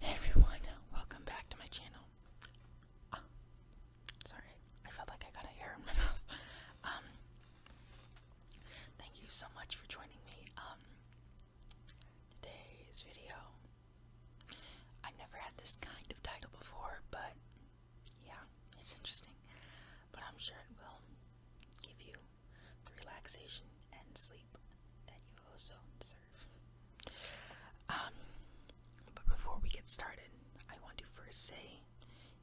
Hey everyone, welcome back to my channel. Ah, sorry, I felt like I got hair in my mouth. Um, thank you so much for joining me. Um, today's video. I never had this kind of title before, but yeah, it's interesting. But I'm sure it will give you relaxation and sleep that you also deserve. Um, but before we get started, I want to first say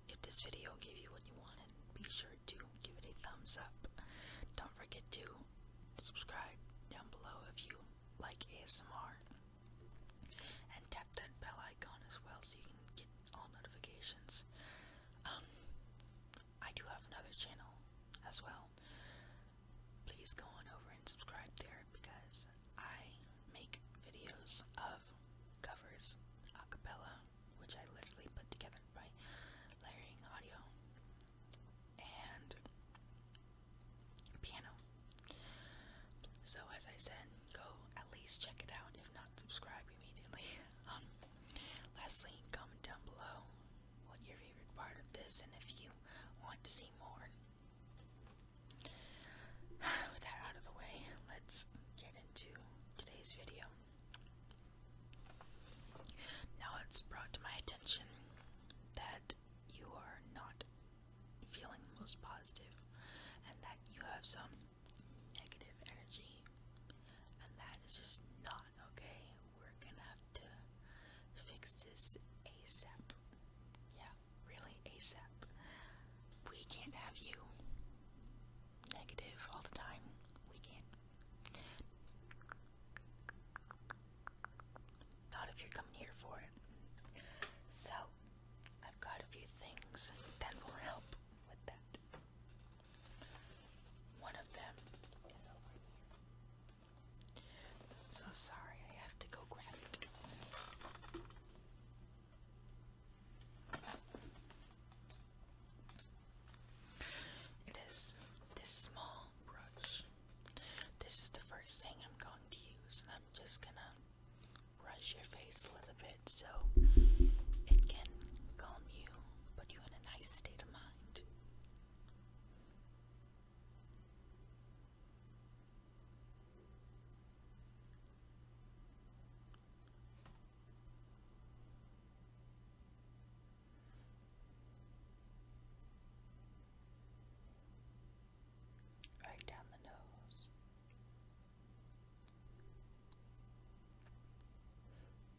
if this video gave you what you wanted, be sure to give it a thumbs up. Don't forget to subscribe down below if you like ASMR. And tap that bell icon as well so you can get all notifications. Um, I do have another channel as well. Please go on over and subscribe there because I make videos of covers a cappella, which I literally put together by layering audio and piano. So, as I said, go at least check it out, if not, subscribe immediately. Um, lastly, comment down below what your favorite part of this and if you want to see more. With that out of the way, let's get into today's video. Now it's brought to my attention that you are not feeling most positive and that you have some negative energy and that is just not okay we're gonna have to fix this ASAP. Yeah, really ASAP. We can't have you negative all the time. We can't. Not if you're coming here for it. So, I've got a few things that will help with that. One of them is over here. So sorry, I have to go grab it. It is this small brush. This is the first thing I'm going to use, and I'm just gonna brush your face a little bit so it can calm you, put you in a nice state of mind mind. Right down the nose.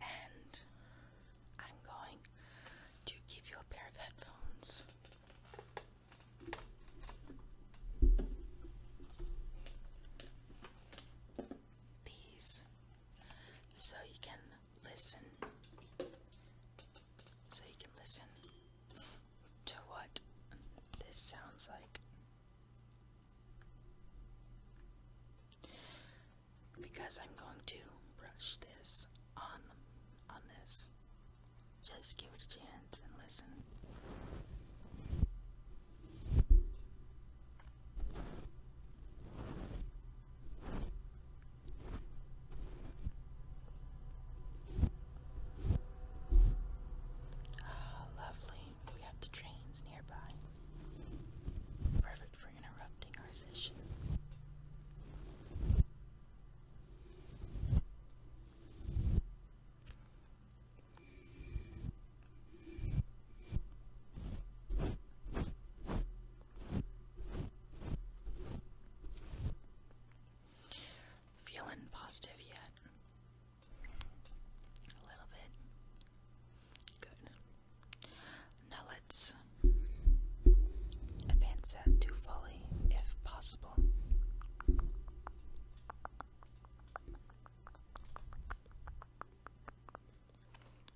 And I'm going to give you a pair of headphones. These so you can listen so you can listen to what this sounds like because I'm going to brush this on on this just give it a chance and listen lovely. We have the trains nearby. Perfect for interrupting our session. Feeling positive yet? A little bit. Good. Now let's advance that to fully, if possible.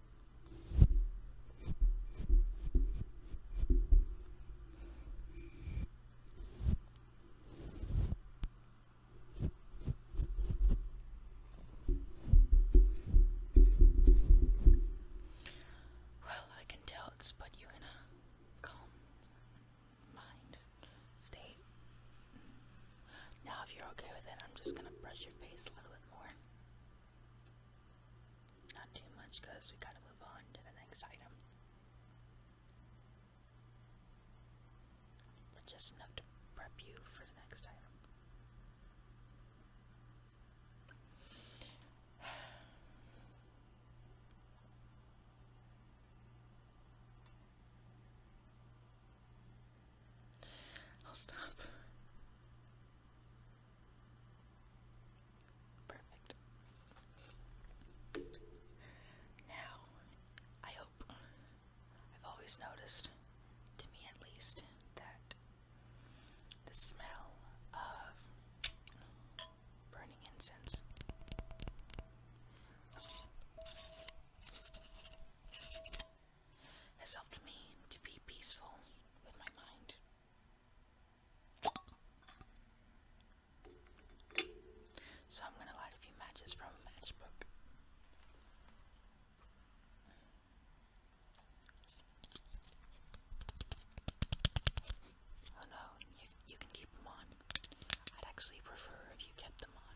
Well, I can tell it's put you in a calm mind state. Now, if you're okay with it, I'm just gonna brush your face a little bit more. Not too much because we gotta move on to the next item. just enough to prep you for the next item. I'll stop. Perfect. Now, I hope I've always noticed, to me at least, that the smell of burning incense. Has helped me to be peaceful with my mind. So I'm gonna light a few matches from a matchbook. Oh no, you, can keep them on. I'd actually prefer if you kept them on.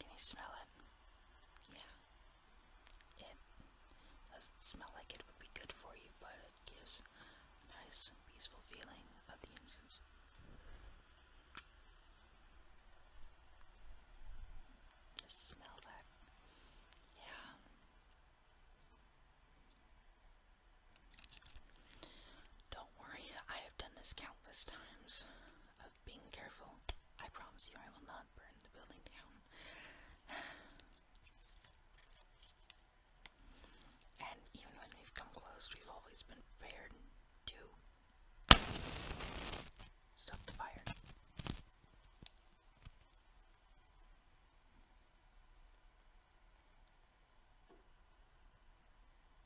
Can you smell it? Yeah. It does like it would be good for you, but it gives nice, peaceful feeling of the incense. Just smell that. Yeah. Don't worry, I have done this countless times being careful. I promise you I will not burn the building down. and even when we've come close, we've always been prepared to stop the fire.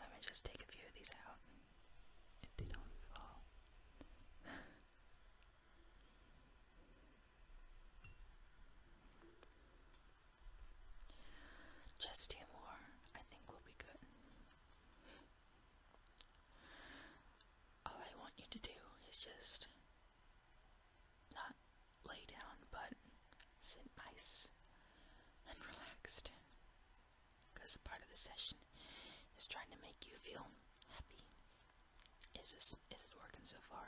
Let me just take a few of these out if they don't fall. Just two more, I think we'll be good. All I want you to do is just not lay down, but sit nice and relaxed. Because a part of the session is trying to make you feel happy is this is it working so far?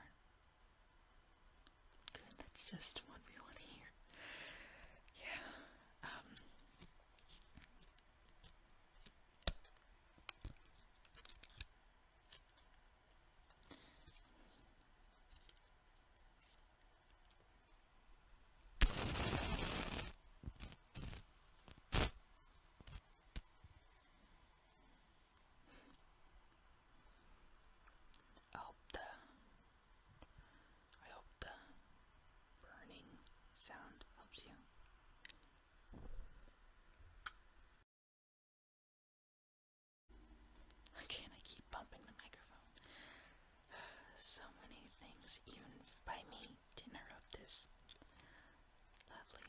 Good, that's just what we want to hear. Yeah. Um. I hope the I hope the burning sound helps you. Again, I keep bumping the microphone. So many things, even by me, to interrupt this. Lovely.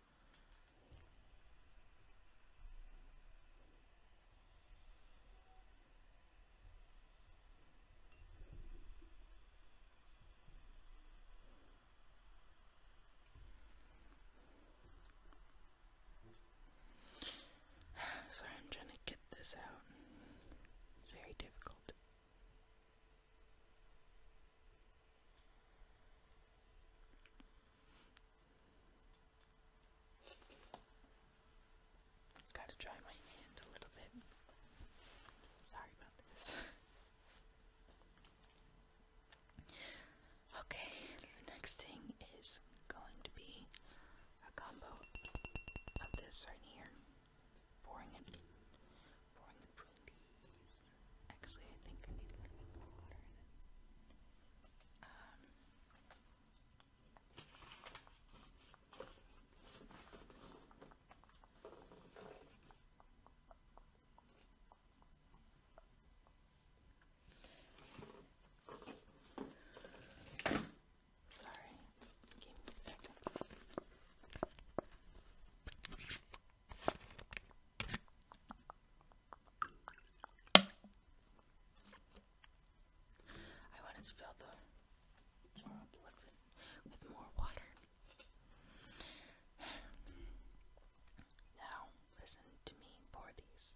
Sorry, I'm trying to get this out. It's very difficult. Gotta dry my hand a little bit. Sorry about this. okay, the next thing is going to be a combo of this right here. Pouring it, pouring it between Actually, I think I need a little bit more water in it. Um, Sorry, give me a second. I wanted to fill the jar with more water. Now, listen to me pour these.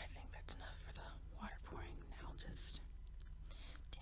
I think that's enough for the water pouring. Now I'll just. Damn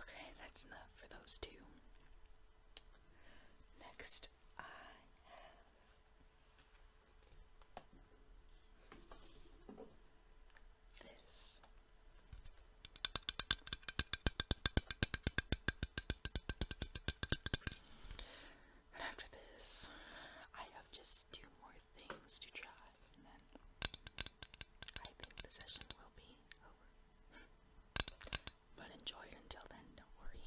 Okay, that's enough for those two. Next, I have this. And after this, I have just two more things to try. I think the session will be over. but enjoy it until then, don't worry.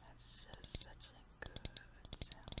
That's just such a good sound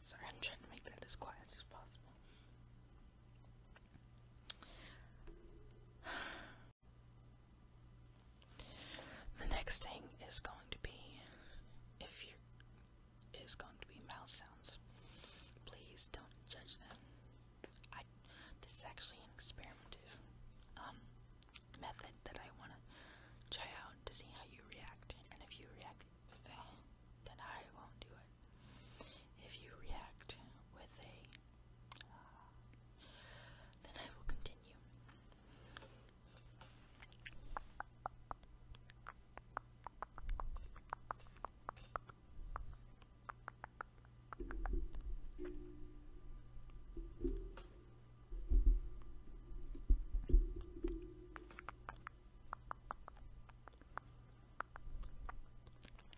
Sorry, I'm trying to make that as quiet as possible. The next thing is going to be if you is going to be mouse sounds. Please don't judge them. I this is actually an experimental um method that I wanna try out to see how you react. And if you react then I won't do it. If you react with a then I will continue.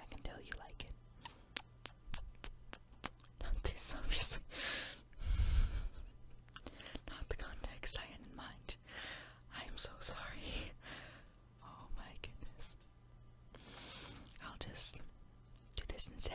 I can tell you like it. Not this, obviously. Not the context I had in mind. I am so sorry. Oh my goodness. I'll just do this instead.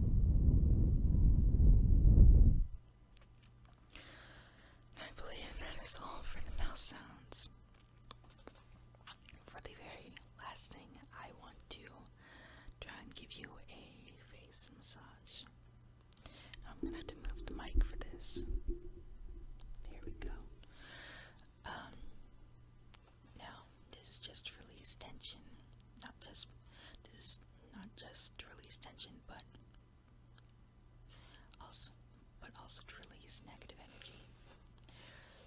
I believe that is all for the mouse sounds. For the very last thing, I want to try and give you a face massage. I'm gonna have to move the mic for this. There we go. Um, now, this just release tension, not just this is not just to release tension, but also, but also to release negative energy.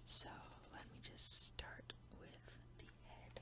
So let me just start with the head.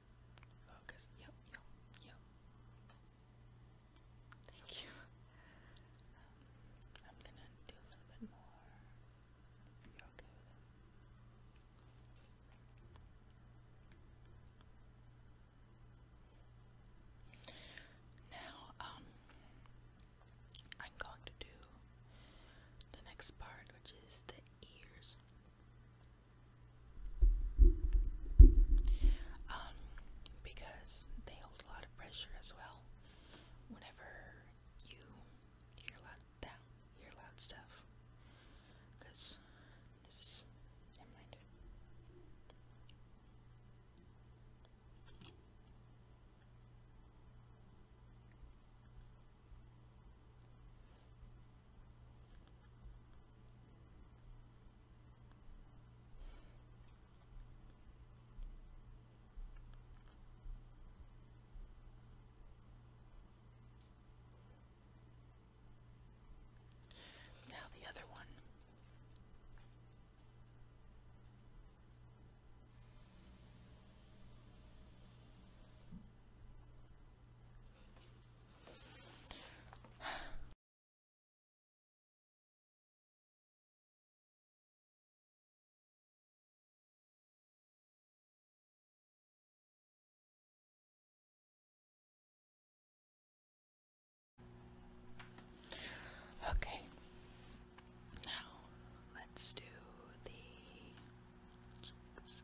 Focus. Yep, yep, yep. Thank you. Um, I'm gonna do a little bit more. you're okay with it. Now, um, I'm going to do the next part, which is the ears. Um, because they hold a lot of pressure as well. Whenever you hear loud hear loud stuff. Cause this is never now the other one. Okay, now let's do the cheeks.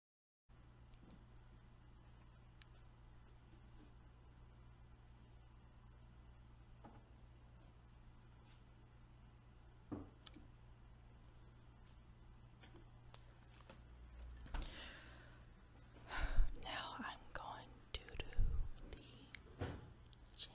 Now I'm going to do the chin.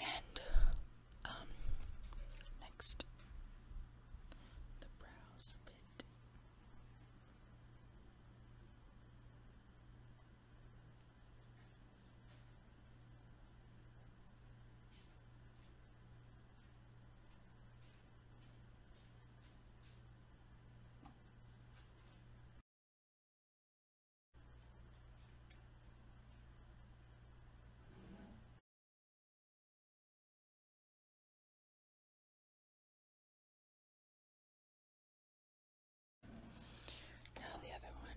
And um next the brows bit. Okay. Now the other one.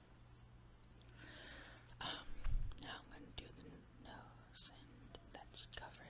Um, now I'm going to do the nose, and that should cover it.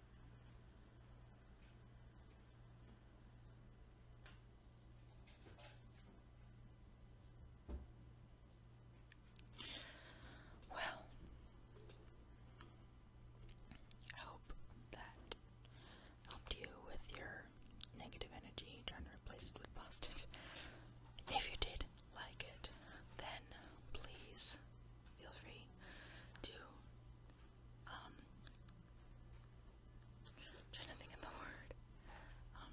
Well, I hope that helped you with your negative energy, trying to replace it with positive. If you did like it, then please feel free to um, i trying to think of the word. Um,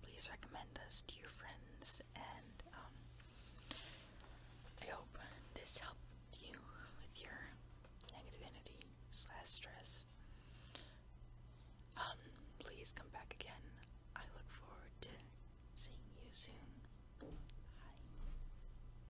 please recommend us to your friends, and um, I hope this helped you with your negative slash stress. please come back again. I look forward to seeing you soon. Bye.